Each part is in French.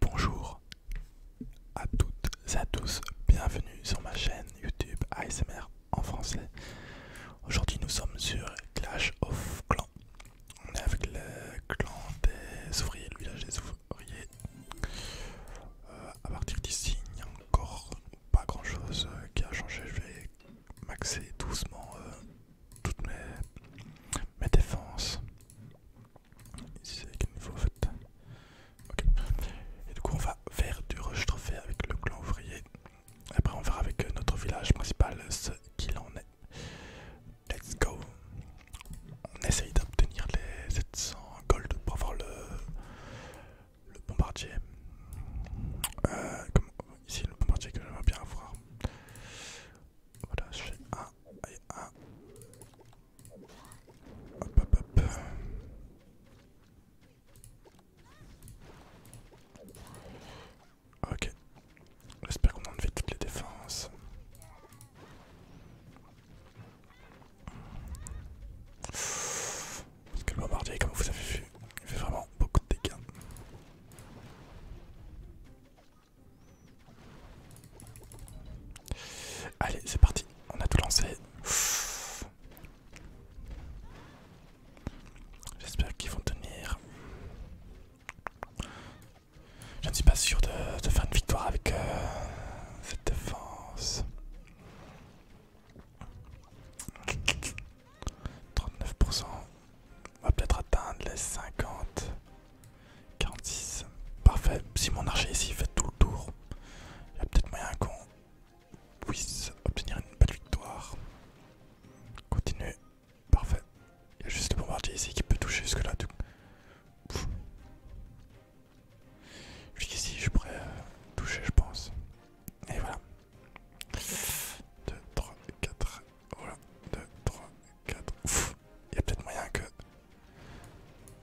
Bonjour à toutes et à tous, bienvenue sur ma chaîne YouTube ASMR en français. Aujourd'hui nous sommes sur Clash of Clans. On est avec le clan des ouvriers, le village des ouvriers. A euh, à partir d'ici, il n'y a encore pas grand chose euh, qui a changé. Je vais maxer doucement euh, toutes mes défenses. Ici fait. Ok. Et du coup on va faire du rush trophée avec le clan ouvrier. Après on verra avec euh, notre village principal ce qu'il en est. Let's go. On essaye d'obtenir les 700 gold pour avoir le, le bombardier. Euh, ici le bombardier que j'aimerais bien avoir. Voilà, je un et un. Hop hop hop. Ok. J'espère qu'on a enlevé toutes les défenses. Parce que le bombardier, comme vous avez vu, il fait vraiment beaucoup de dégâts. Allez, c'est parti, on a tout lancé. J'espère qu'ils vont tenir. Je ne suis pas sûr de, faire une victoire avec euh, cette défense. 39%. On va peut-être atteindre les 50. 46. Parfait. Si mon archer ici fait tout le tour, il y a peut-être moyen qu'on puisse obtenir une belle victoire. Continue. Parfait. Il y a juste le bombardier ici qui peut toucher jusque-là. Jusqu'ici, je pourrais euh, toucher, je pense. Et voilà. 2, 3, 4. Voilà. 2, 3, 4 il y a peut-être moyen que.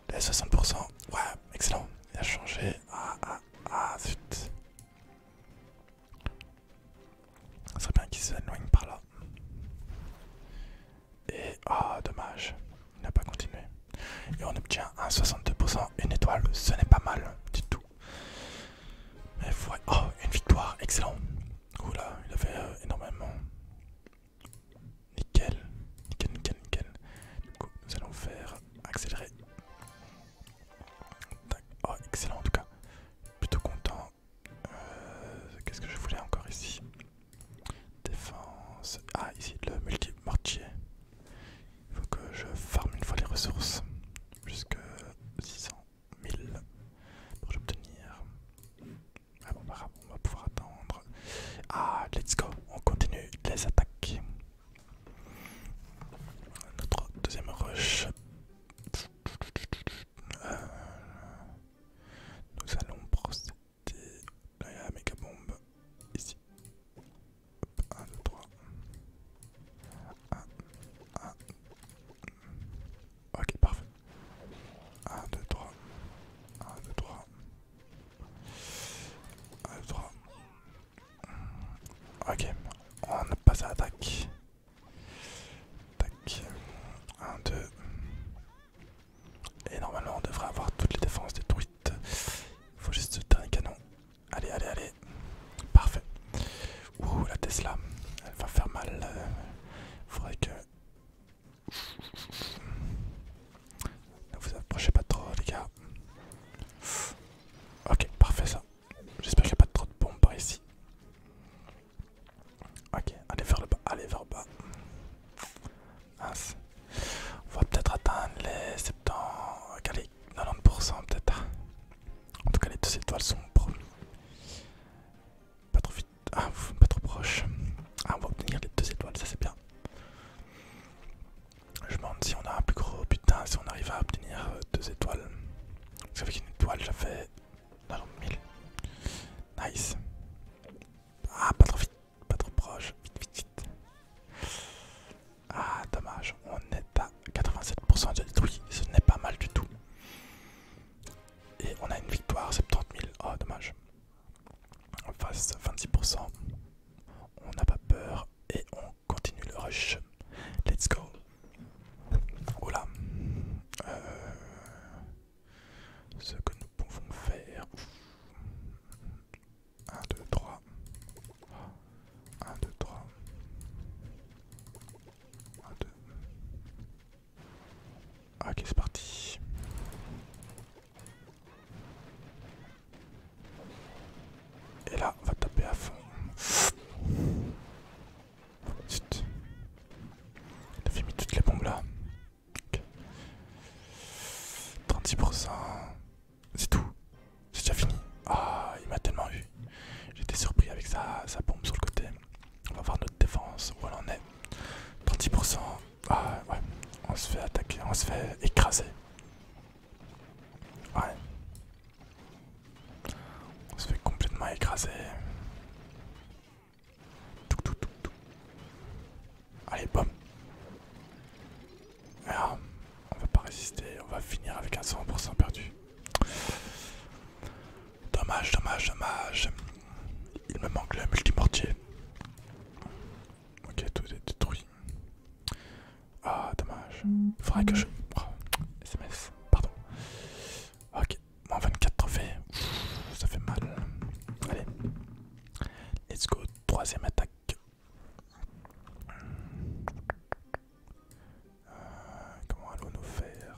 Les 60%. Ouais, excellent. Il a changé. Ah, ah, ah, zut. Ça serait bien qu'il s'éloigne par là. Et ah, oh, dommage. Il n'a pas continué. Et on obtient un 62%, une étoile. Ce n'est pas mal du tout. Mais ouais. Oh, une victoire. Excellent. Oula, il avait euh, énormément. Nickel, nickel, nickel, nickel. Du coup, nous allons faire accélérer. Oh, excellent en tout cas. Plutôt content. Euh, qu'est-ce que je voulais encore ici Défense. Ah, ici le multi-mortier. Il faut que je farme une fois les ressources. Jusque 600 000 pour obtenir ah bon, bah, ah on va pouvoir attendre. Ah, let's go, on continue les attaques. Notre deuxième rush. Euh, nous allons procéder. Là, il y a la méga bombe. Ici. 1, 2, 3. 1, 1, Ok, parfait. 1, 2, 3. 1, 2, 3. 1, 2, 3. Ok, on passe à l'attaque. Tac. 1, 2. Et normalement, on devrait avoir toutes les défenses détruites. Faut juste le dernier canon. Allez, allez, allez. Parfait. Ouh, la Tesla. Elle va faire mal. Euh, faudrait que ne vous approchez pas trop les gars. Ok, parfait ça. J'espère qu'il n'y a pas trop de bombes par ici. Ok, allez vers le bas, allez vers bas. On va peut-être atteindre les 70, 90% peut-être. En tout cas les deux étoiles sont Pas trop vite. Ah, pas trop proche. Ah, on va obtenir les deux étoiles, ça c'est bien. Je me demande si on a un plus gros putain, si on arrive à obtenir euh, deux étoiles. Vous savez une étoile, j'avais. Non, 1000. Nice. Ah, pas trop vite, pas trop proche. Vite, vite, vite. Ah, dommage, on est à 87% de détruit. Ce n'est pas mal du tout. Et on a une victoire, c'est 30 000. Oh, dommage. En face 26%. On n'a pas peur et on continue le rush. Let's go. Voilà. Euh, ce que nous pouvons faire. 1, 2, 3. 1, 2, 3. Ok, ah, c'est parti. Et là, on va taper à fond. Zut. Il mis toutes les bombes là. 36%. C'est tout. C'est déjà fini. Ah, il m'a tellement eu. J'étais surpris avec sa, sa bombe sur le côté. On va voir notre défense, où elle en est. 30%, ah, ouais, on se fait attaquer, on se fait écraser. Ouais. On se fait complètement écraser. Allez, bam. Ah, on va pas résister, on va finir avec un 100% perdu. Dommage, dommage, dommage. Il me manque le multimortier. Ok, tout est détruit. Ah, dommage. Faudrait que je. SMS, pardon. Ok, moins 24 trophées. ça fait mal. Allez. Let's go, troisième attaque. Euh, comment allons-nous faire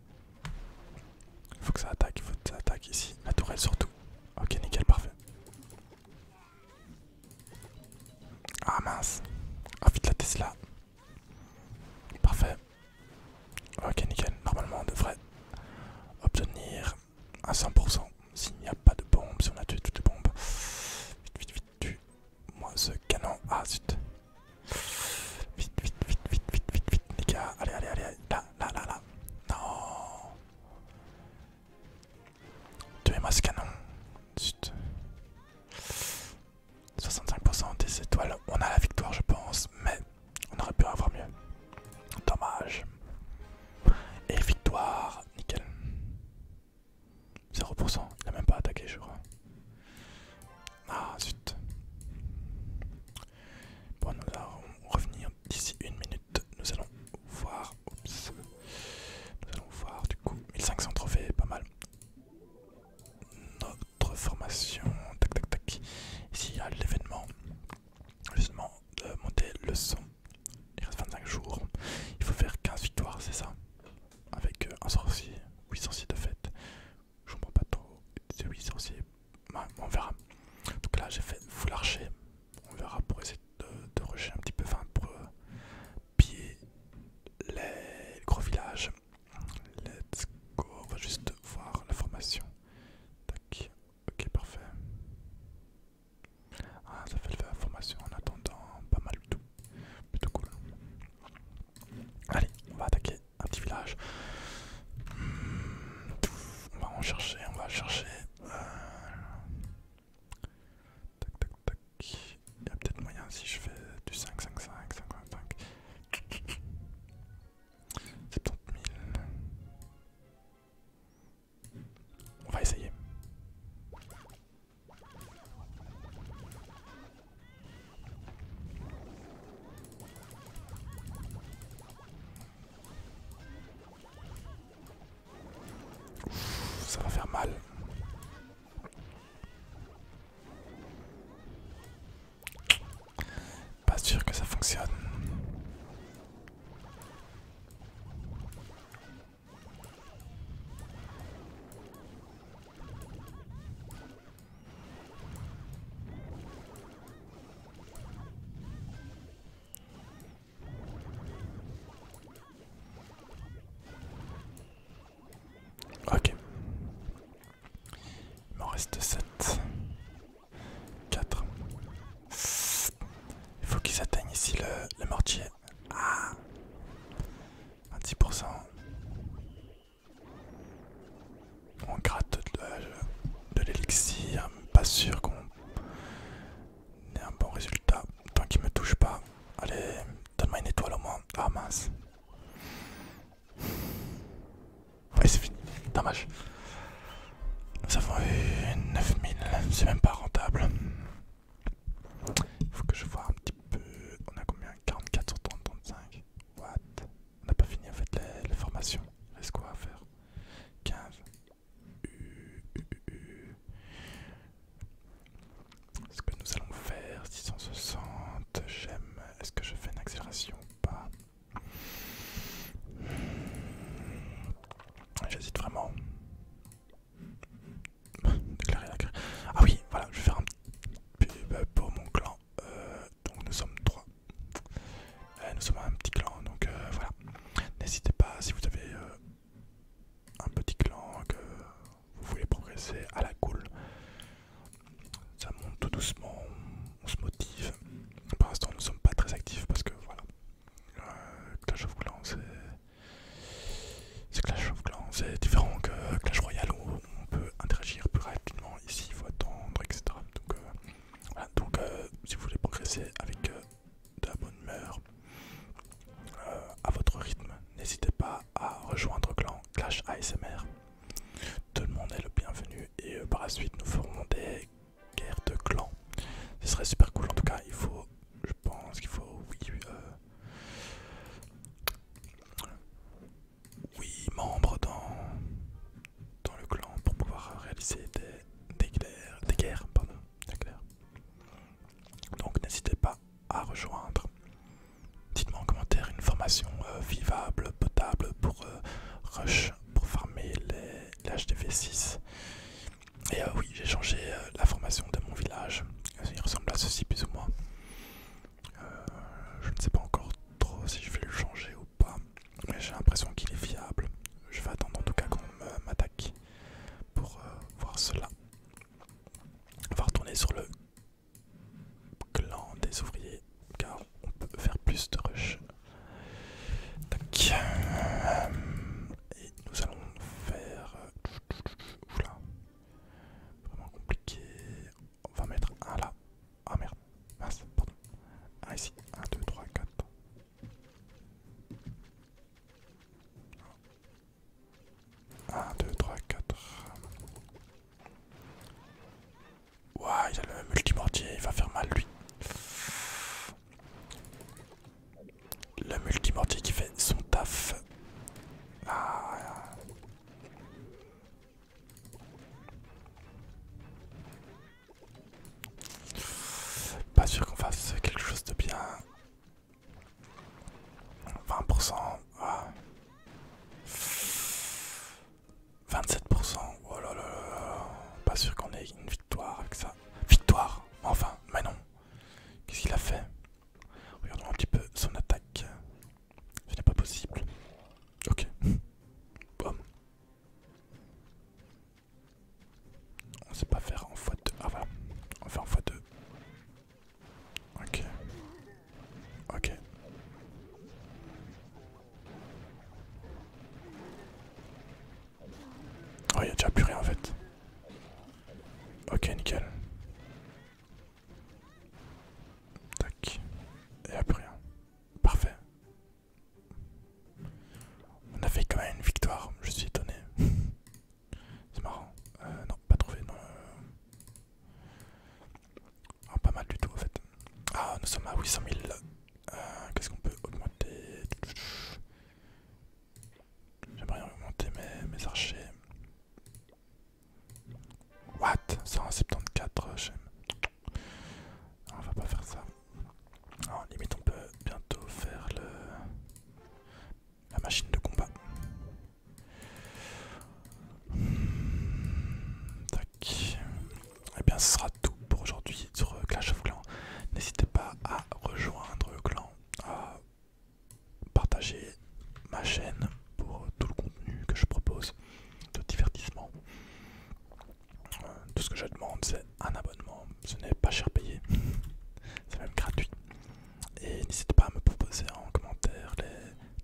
Il Faut que ça attaque, Il faut que ça attaque ici. La tourelle surtout. Ok, nickel, parfait. Ah mince. Ah vite la Tesla. Parfait. Ok, nickel. Normalement, on devrait obtenir à 100%. S'il n'y a pas de bombes, si on a tué toutes les bombes. Vite, vite, vite, tue. Moi, ce canon. Ah zut. Vite, vite, vite, vite, vite, vite, vite, les Allez, allez, allez. Là, là, là, là, Non. Tuez-moi ce canon. Zut. 65% des étoiles. On a la victoire, je pense, mais on aurait pu avoir mieux. Dommage. Et victoire. Nickel. 0%. Il n'a même pas attaqué, je crois. Ah, zut. Bon, nous allons revenir d'ici une minute. Nous allons voir. Nous allons voir du coup 1500 trophées, pas mal. Notre formation. Tac tac tac. Ici il y a l'événement. Justement, de monter le son. Il reste 25 jours. Il faut faire 15 victoires, c'est ça Avec euh, un sorcier. sorciers de fête. Je comprends pas trop. c'est bah, on verra. Donc là, j'ai fait full archer On verra pour essayer de, rusher un petit peu. Enfin, pour euh, piller les gros villages. Let's go. On va juste voir la formation. Tac. Ok, parfait. Ah, ça fait la formation en attendant pas mal du tout. Plutôt cool. Allez, on va attaquer un petit village. Hmm. On va en chercher, on va chercher. Euh, tac, tac, tac. Il y a peut-être moyen si je fais du 5, 5, 5, 55. 70 000. On va essayer ça va faire mal. Pas sûr que ça fonctionne. Ok. Il m'en reste 7. 4. Il faut qu'ils atteignent ici le, mortier. Ah 10%. On gratte de, l'élixir, pas sûr qu'on ait un bon résultat. Tant qu'il me touche pas. Allez, donne-moi une étoile au moins. Ah mince. c'est fini, dommage. Nous avons eu 9000, c'est même pas rentable. Il Faut que je vois un petit peu. On a combien 44 sur 30, 35. What on n'a pas fini en fait les, formation. formations. Il reste quoi à faire 15. est Ce que nous allons faire, 660, j'aime. Est-ce que je fais une accélération ou pas J'hésite vraiment. Déclarer la Ah oui, voilà, je vais faire un pub pour mon clan euh, donc nous sommes trois. Euh, nous sommes un petit clan, donc euh, voilà. N'hésitez pas si vous avez un petit clan que vous voulez progresser à la cool. Ça monte tout doucement, on se motive. Pour l'instant, nous sommes pas très actifs parce que voilà. Clash of Clans, c'est. Clash of Clans, c'est différent que Clash Royale où on peut interagir plus rapidement. Ici, il faut attendre, etc. Donc, donc euh, si vous voulez progresser avec euh, de la bonne humeur, euh, à votre rythme, n'hésitez pas à rejoindre clan Clash ASMR. Tout le monde est le bienvenu et par la suite nous ferons des guerres de clans. Ce serait super cool en tout cas, il faut, je pense qu'il faut, oui, membre dans, dans le clan pour pouvoir réaliser des, guerres. Donc n'hésitez pas à rejoindre. Dites-moi en commentaire une formation euh, vivable, potable pour euh, rush, pour farmer les, HDV6. Et euh, oui, j'ai changé la formation de mon village. Il ressemble à ceci plus ou moins. je ne sais pas encore trop si je vais le changer ou pas, mais j'ai l'impression qu'il est fiable. Je vais attendre en tout cas qu'on m'attaque pour euh, voir cela. On va retourner sur le clan des ouvriers car on peut faire plus de rush. Et nous allons faire. Euh, oula. Vraiment compliqué on va mettre un là. Ah merde, mince, ici, 1, 2, 3, 4. 1, 2, 3, 4. Ouah, il a le multimordier, il va faire mal lui. Le multimordier qui fait son taf. Ah. Pas sûr qu'on fasse quelque chose de bien. 20%, 27%, ah. oh là là là, pas sûr qu'on ait une victoire avec ça. Victoire, enfin, mais non. Qu'est-ce qu'il a fait Regardons un petit peu son attaque. Ce n'est pas possible. Ok. Bon. On sait pas faire en x2. Ah va On fait en x2. Ok. Ok. Oh, il a déjà plus rien en fait. Ok, nickel. Tac. Et a plus rien. Parfait. On a fait quand même une victoire, je suis étonné. C'est marrant. Euh, non, pas trouvé. Non. Euh. Ah, pas mal du tout en fait. Ah, nous sommes à 800 000. Euh, qu'est-ce qu'on peut augmenter J'aimerais augmenter mes archers. What 174 chaînes. Euh, on va pas faire ça. En limite on peut bientôt faire le... la machine de combat. Tac. Et eh bien ce sera tout pour aujourd'hui sur euh, Clash of Clans. N'hésitez pas à rejoindre le clan, à partager ma chaîne pour euh, tout le contenu que je propose de divertissement. tout euh, ce que je demande, c'est un abonnement. Ce n'est pas cher payé, c'est même gratuit. Et n'hésitez pas à me proposer en commentaire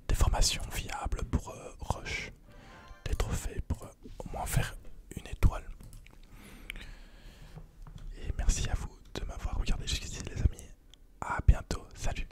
des formations viables pour euh, Rush, des trophées pour au moins faire une étoile. Et merci à vous de m'avoir regardé jusqu'ici les amis. à bientôt, salut